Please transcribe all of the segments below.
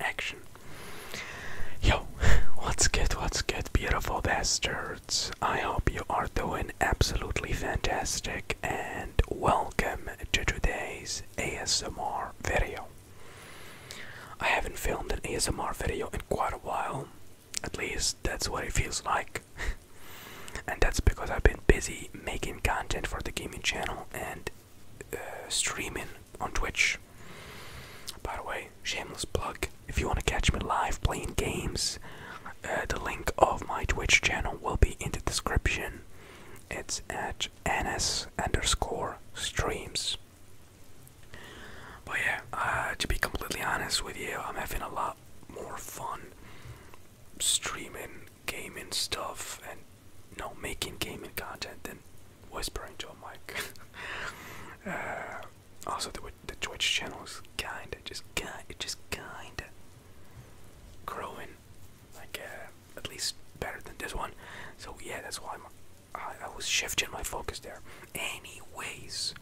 Action. Yo, what's good, what's good, beautiful bastards? I hope you are doing absolutely fantastic and welcome to today's ASMR video. I haven't filmed an ASMR video in quite a while, at least that's what it feels like. and that's because I've been busy making content for the gaming channel and uh, streaming on Twitch. By the way, shameless plug. If you want to catch me live playing games, uh, the link of my Twitch channel will be in the description. It's at ns underscore streams. But yeah, uh, to be completely honest with you, I'm having a lot more fun streaming gaming stuff and no making gaming content than whispering to a mic. Uh, also, the, the Twitch channel is kinda, just kinda, just kinda growing, like uh, at least better than this one. So yeah, that's why I, I was shifting my focus there. Anyways,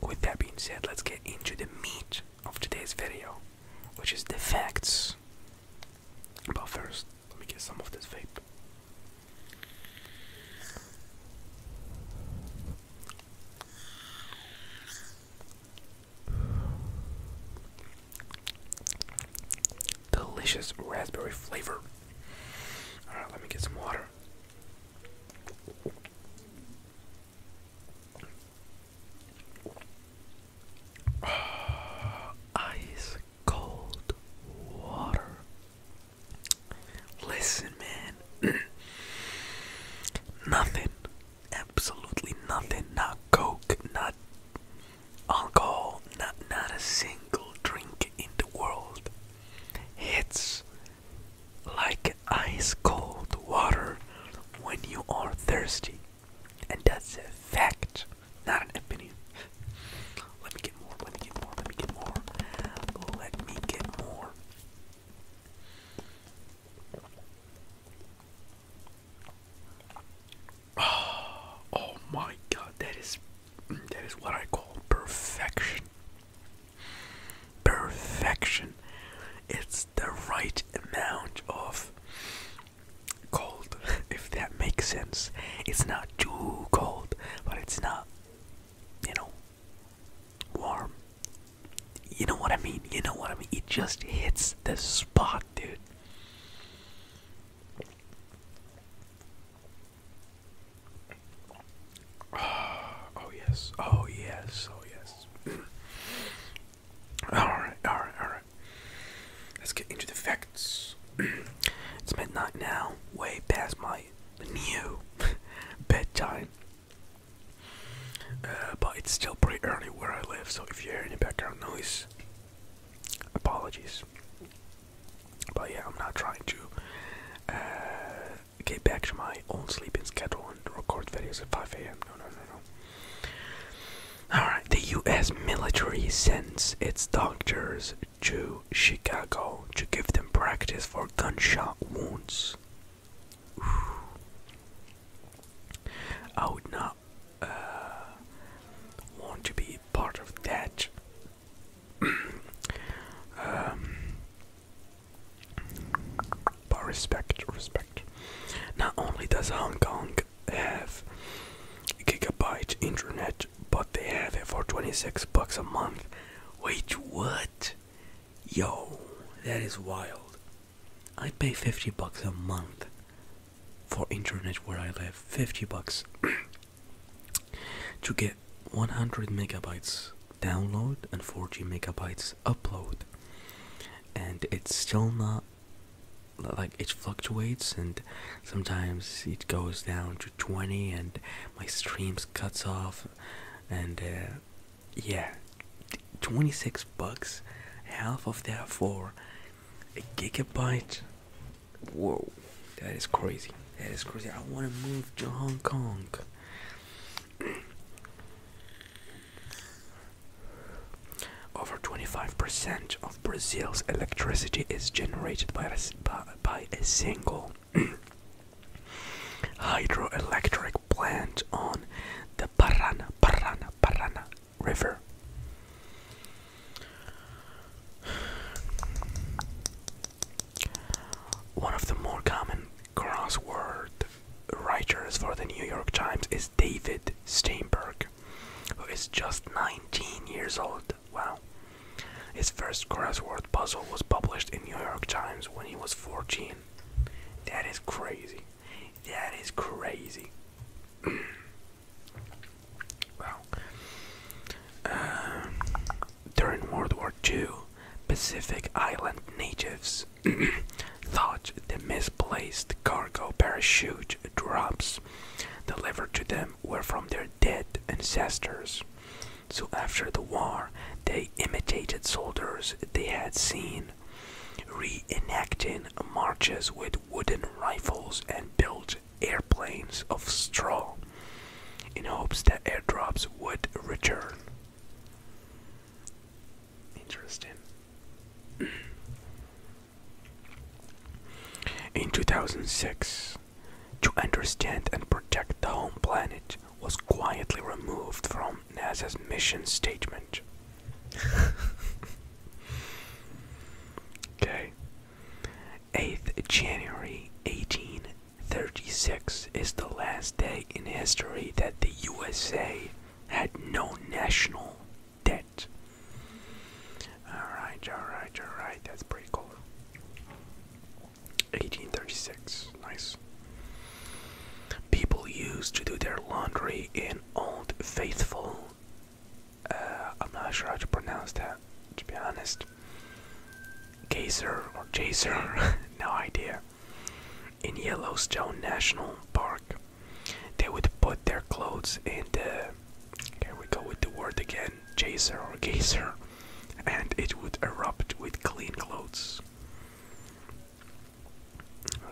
with that being said, let's get into the meat of today's video, which is the facts. But first, let me get some of this vape. Delicious raspberry flavor. Alright, let me get some water. Ah, ice cold water. Listen, man. nothing. Absolutely nothing. Not coke, not alcohol, not, not a single drink in the world. It's like ice cold water when you are thirsty. And that's a fact. Not an opinion. Let me get more, let me get more, let me get more. Let me get more. Oh, my god, that is that is what I call perfection. Perfection. It's the right amount of cold, if that makes sense. It's not too cold, but it's not, you know, warm. You know what I mean? You know what I mean? It just hits the spot, dude. Oh, yes. Oh yes. Oh yes. all right. All right. All right. Let's get into the fact it's midnight now, way past my new bedtime. Uh, but it's still pretty early where I live, so if you hear any background noise, apologies. But yeah, I'm not trying to uh, get back to my own sleeping schedule and record videos at 5 a.m. No, no, no, no. Alright, the US military sends its doctors to Chicago to give them practice for gunshot wounds. I would not uh, want to be part of that. Um, but respect, respect. Not only does Hong Kong have gigabyte internet but they have it for 26 bucks a month. Wait, what? Yo, that is wild. I pay 50 bucks a month for internet where I live. 50 bucks to get 100 megabytes download and 40 megabytes upload. And it's still not like it fluctuates and sometimes it goes down to 20 and my streams cuts off and uh, yeah 26 bucks half of that for a gigabyte whoa that is crazy that is crazy i want to move to hong kong over 25% of Brazil's electricity is generated by a, by a single hydroelectric plant on the Parana, Parana, Parana River. One of the more common crossword writers for the New York Times is David Steinberg, who is just 19 years old. Wow. His first crossword puzzle was published in New York Times when he was 14. That is crazy. That is crazy. wow. Um, during World War II, Pacific Island natives thought the misplaced cargo parachute drops delivered to them were from their dead ancestors. So after the war, they imitated soldiers they had seen, reenacting marches with wooden rifles and built airplanes of straw in hopes that airdrops would return. Interesting. In 2006, to understand and protect the home planet was quietly removed from NASA's mission statement. okay. 8th January 1836 is the last day in history that the USA had no national debt. Alright, alright, alright, that's pretty cool. 1836, nice. People used to do their laundry in Old Faithful. Uh, I'm not sure how to pronounce that, to be honest. Gazer or Jaser, no idea. In Yellowstone National Park, they would put their clothes in the here we go with the word again, chaser or gazer, and it would erupt with clean clothes.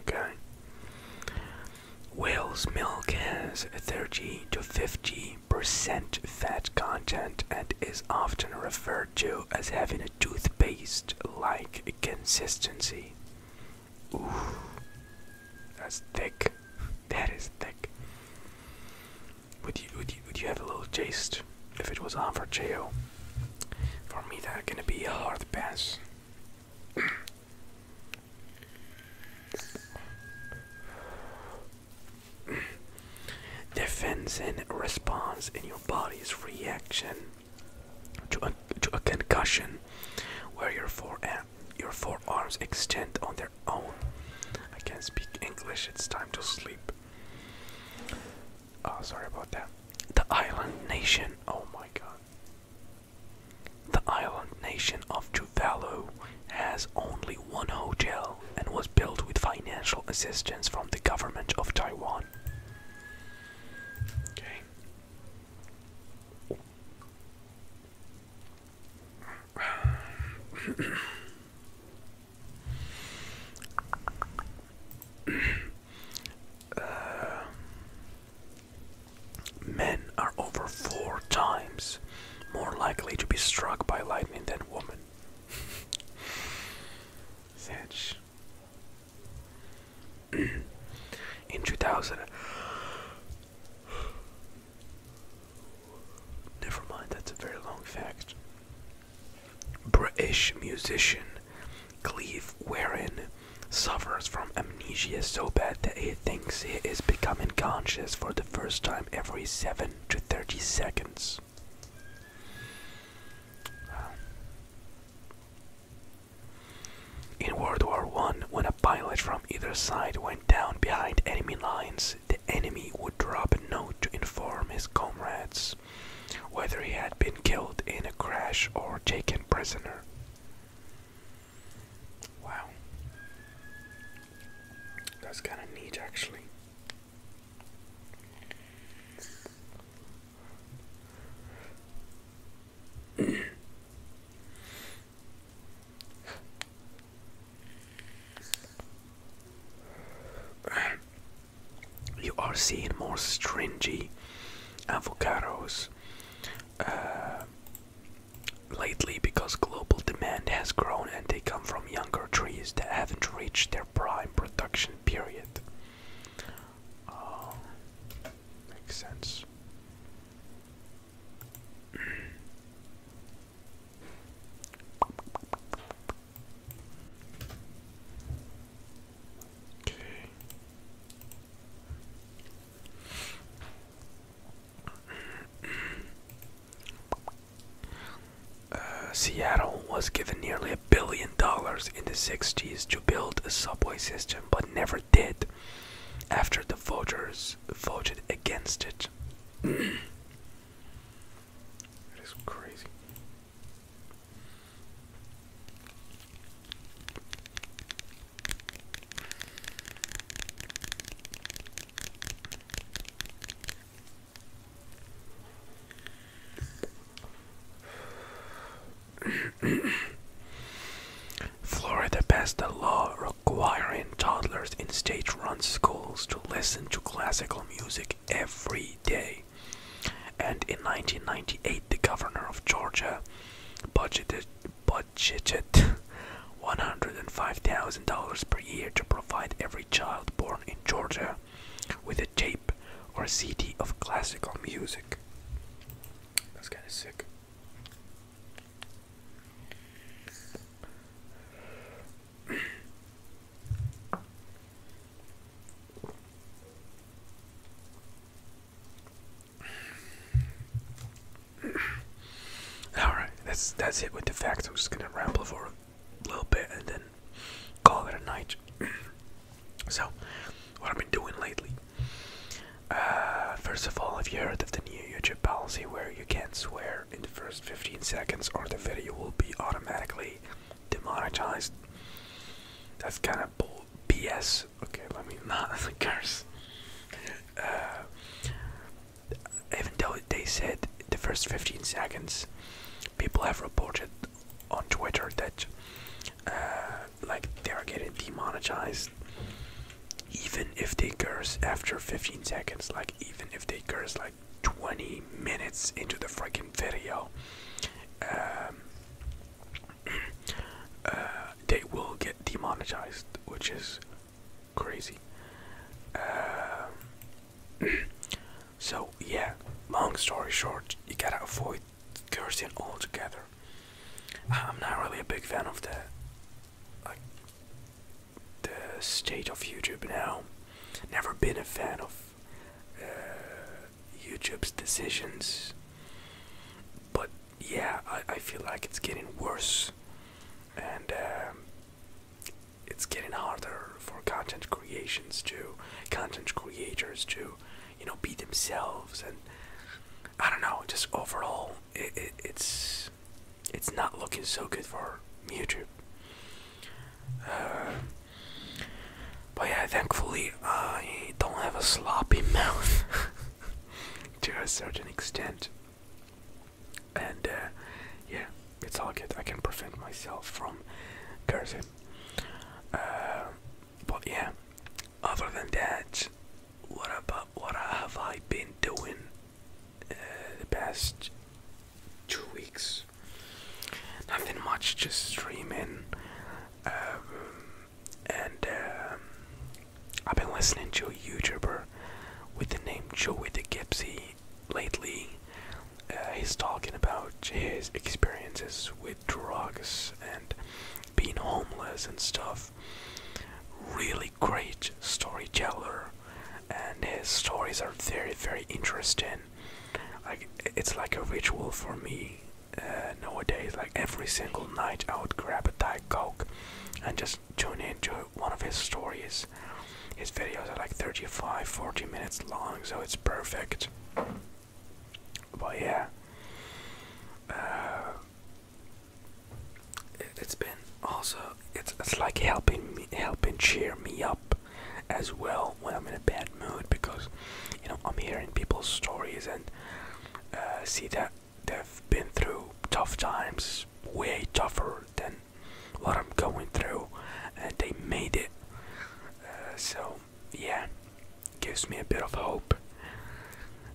Okay. Whale's milk has 30 to 50 percent fat content and is often referred to as having a toothpaste like consistency. Ooh, that's thick. That is thick. Would you would you would you have a little taste if it was on for Cheo? For me that's gonna be a hard pass. Defense and response in your body's reaction to a, to a concussion, where your, fore, your forearms extend on their their I can't speak English, it's time to sleep. Oh, sorry about that. The island nation, oh my god. The island nation of Tuvalu has only one hotel and was built with financial assistance from the government of Taiwan. Okay. Uh, men are over four times more likely to be struck by lightning than women. In 2000, Never mind, that's a very long fact. British musician Cleve Warren suffers from amnesia so bad that he thinks he is becoming conscious for the first time every 7 to 30 seconds. In World War One, when a pilot from either side went down behind enemy lines, the enemy would drop a note to inform his comrades whether he had been killed in a crash or taken prisoner. Wow. That's kind of neat, actually. You are seeing more stringy avocados uh, lately because global demand has grown and they come from younger trees that haven't reached their prime production period. Oh, makes sense. Uh, Seattle was given nearly a billion dollars in the 60s to build a subway system, but never did after the voters voted against it. It is crazy. Florida passed a law requiring toddlers in state-run schools to listen to classical music every day. And in 1998, the governor of Georgia budgeted budgeted $105,000 per year to provide every child born in Georgia with a tape or CD of classical music. That's kind of sick. All right, that's that's it with the facts. I'm just gonna ramble for a little bit and then call it a night. so, what I've been doing lately. Uh, first of all, have you heard of the new YouTube policy where you can't swear in the first 15 seconds or the video will be automatically demonetized. That's kind of bull BS. Okay, let me not curse. Uh, even though they said the first 15 seconds, people have reported on Twitter that uh, like they are getting demonetized even if they curse after 15 seconds like even if they curse like 20 minutes into the freaking video, um, uh, they will get demonetized, which is crazy. Um, so, yeah, long story short, you gotta avoid cursing altogether. I'm not really a big fan of that the state of YouTube now. Never been a fan of uh, YouTube's decisions, but yeah, I, I feel like it's getting worse, and um, it's getting harder for content creations to content creators to, you know, be themselves and. I don't know. Just overall, it, it's it's not looking so good for YouTube. but yeah, thankfully I don't have a sloppy mouth to a certain extent. And uh, yeah, it's all good. I can prevent myself from cursing. Uh, but yeah, other than that, what about what have I been doing uh, the best two weeks. Nothing much, just streaming. Um, and um, I've been listening to a YouTuber with the name Joey the Gypsy lately. Uh, he's talking about his experiences with drugs and being homeless and stuff. Really great storyteller, and his stories are very, very interesting like it's like a ritual for me uh, nowadays. Like every single night, I would grab a Diet Coke and just tune into one of his stories. His videos are like 35, 40 minutes long, so it's perfect. But yeah, uh, it, has been also it's it's like helping me helping cheer me up as well when I'm in a bad mood because you know I'm hearing people's stories and uh, see that they've been through tough times, way tougher than what I'm going through, and they made it. Uh, so yeah, gives me a bit of hope.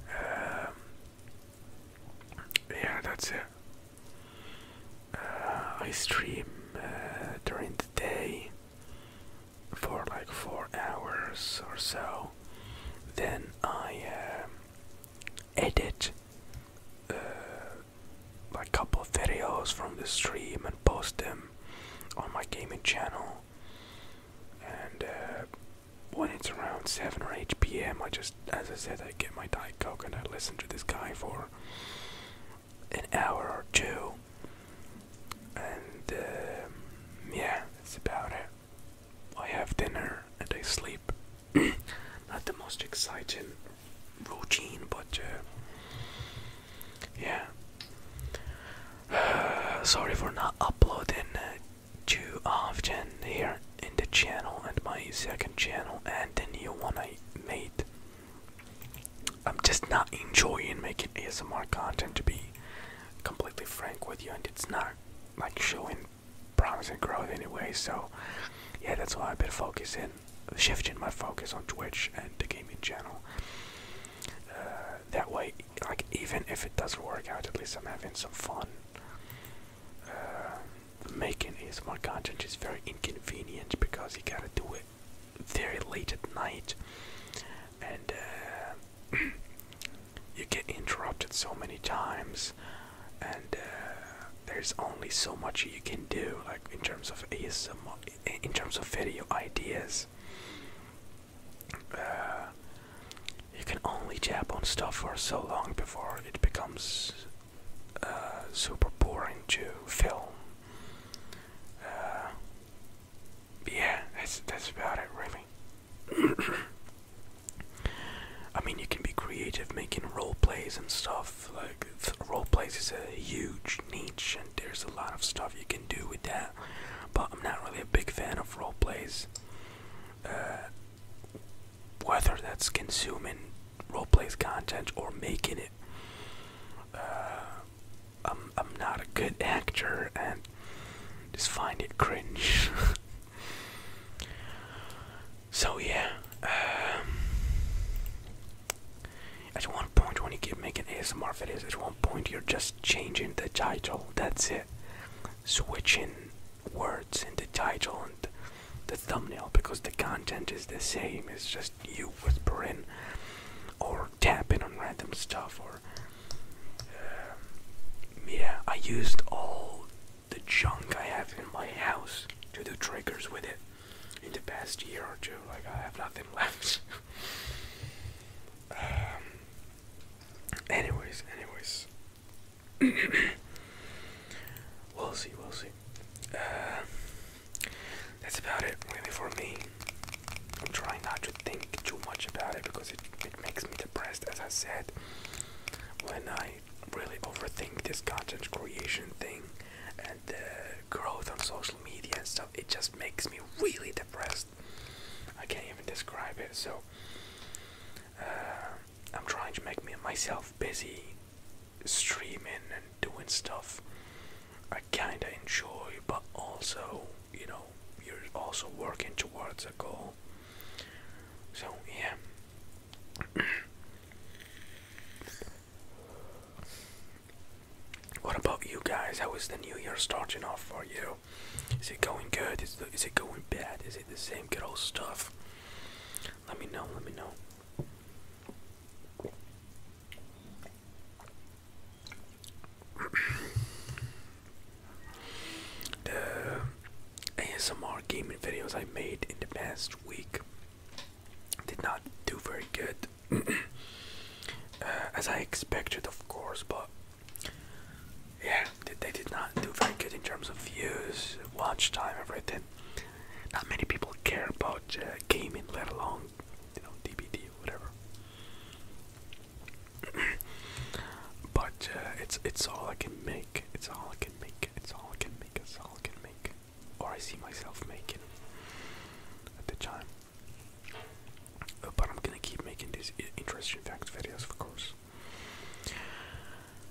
Um, yeah, that's it. I stream uh, during the day for like four hours or so. Then I um, edit uh, a couple of videos from the stream and post them on my gaming channel. And uh, when it's around 7 or 8 p.m., I just, as I said, I get my Diet Coke and I listen to this guy for an hour or two, and um, yeah, that's about it. I have dinner and I sleep. Not the most exciting routine, but uh, yeah. sorry for not uploading uh, too often here in the channel and my second channel and the new one I made I'm just not enjoying making ASMR content to be completely frank with you and it's not like showing promising growth anyway so yeah that's why I've been focusing shifting my focus on Twitch and the gaming channel uh, that way like even if it doesn't work out at least I'm having some fun uh, making ASMR content is very inconvenient because you gotta do it very late at night, and uh, you get interrupted so many times, and uh, there's only so much you can do, like in terms of ASM, in terms of video ideas. Uh, you can only tap on stuff for so long before it becomes super boring to film uh, yeah, that's that's about it, really. I mean, you can be creative making role plays and stuff. Like role plays is a huge niche, and there's a lot of stuff you can do with that. But I'm not really a big fan of role plays. Uh, whether that's consuming role plays content or making it. Uh, I'm I'm not a good actor and just find it cringe. so yeah, um, at one point when you keep making ASMR videos, at one point you're just changing the title. That's it, switching words in the title and the thumbnail because the content is the same. It's just just you whispering or tapping on random stuff or um, yeah i used all the junk i have in my house to do triggers with it in the past year or two like i have nothing left um, anyways anyways we'll see we'll see uh, that's about it really for me. I'm trying not to think too much about it because it, it makes me depressed as I said when I really overthink this content creation thing and the growth on social media and stuff it just makes me really depressed. I can't even describe it so uh, I'm trying to make me myself busy streaming and doing stuff I kinda enjoy, but also, you know, you're also working towards a goal. So, yeah. what about you guys? How is the new year starting off for you? Is it going good? Is, the, is it going bad? Is it the same good old stuff? Let me know, let me know the ASMR gaming videos I made in the past week did not do very good, uh, as I expected, of course, but. Yeah, they did not do very good in terms of views, watch time, everything. Not many people care about uh, gaming, let alone you know DBD or whatever. but uh, it's it's all I can make. It's all I can make. It's all I can make. It's all I can make. Or I see myself making at the time. but I'm gonna keep making these interesting facts videos, of course.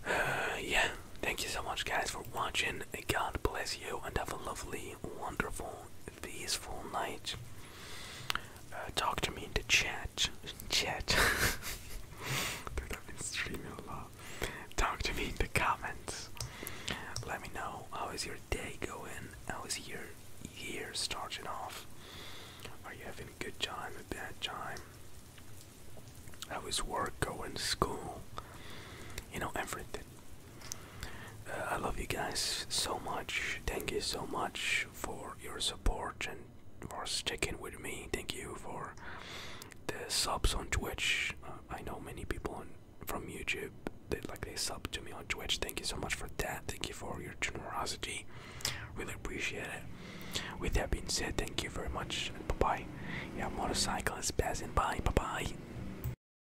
yeah, thank you so much, guys, for watching. God bless you, and have a lovely, wonderful peaceful night. Uh, talk to me in the chat. Chat. Dude, I've been streaming a lot. Talk to me in the comments. Let me know how is your day going? How is your year starting off? Are you having a good time, a bad time? How is work going, school? You know, everything. Uh, I love you guys so much. Thank you so much for your support and for sticking with me. Thank you for the subs on Twitch. Uh, I know many people from YouTube that like they sub to me on Twitch. Thank you so much for that. Thank you for your generosity. Really appreciate it. With that being said, thank you very much. Bye bye. Yeah, motorcycle is passing by. Bye bye.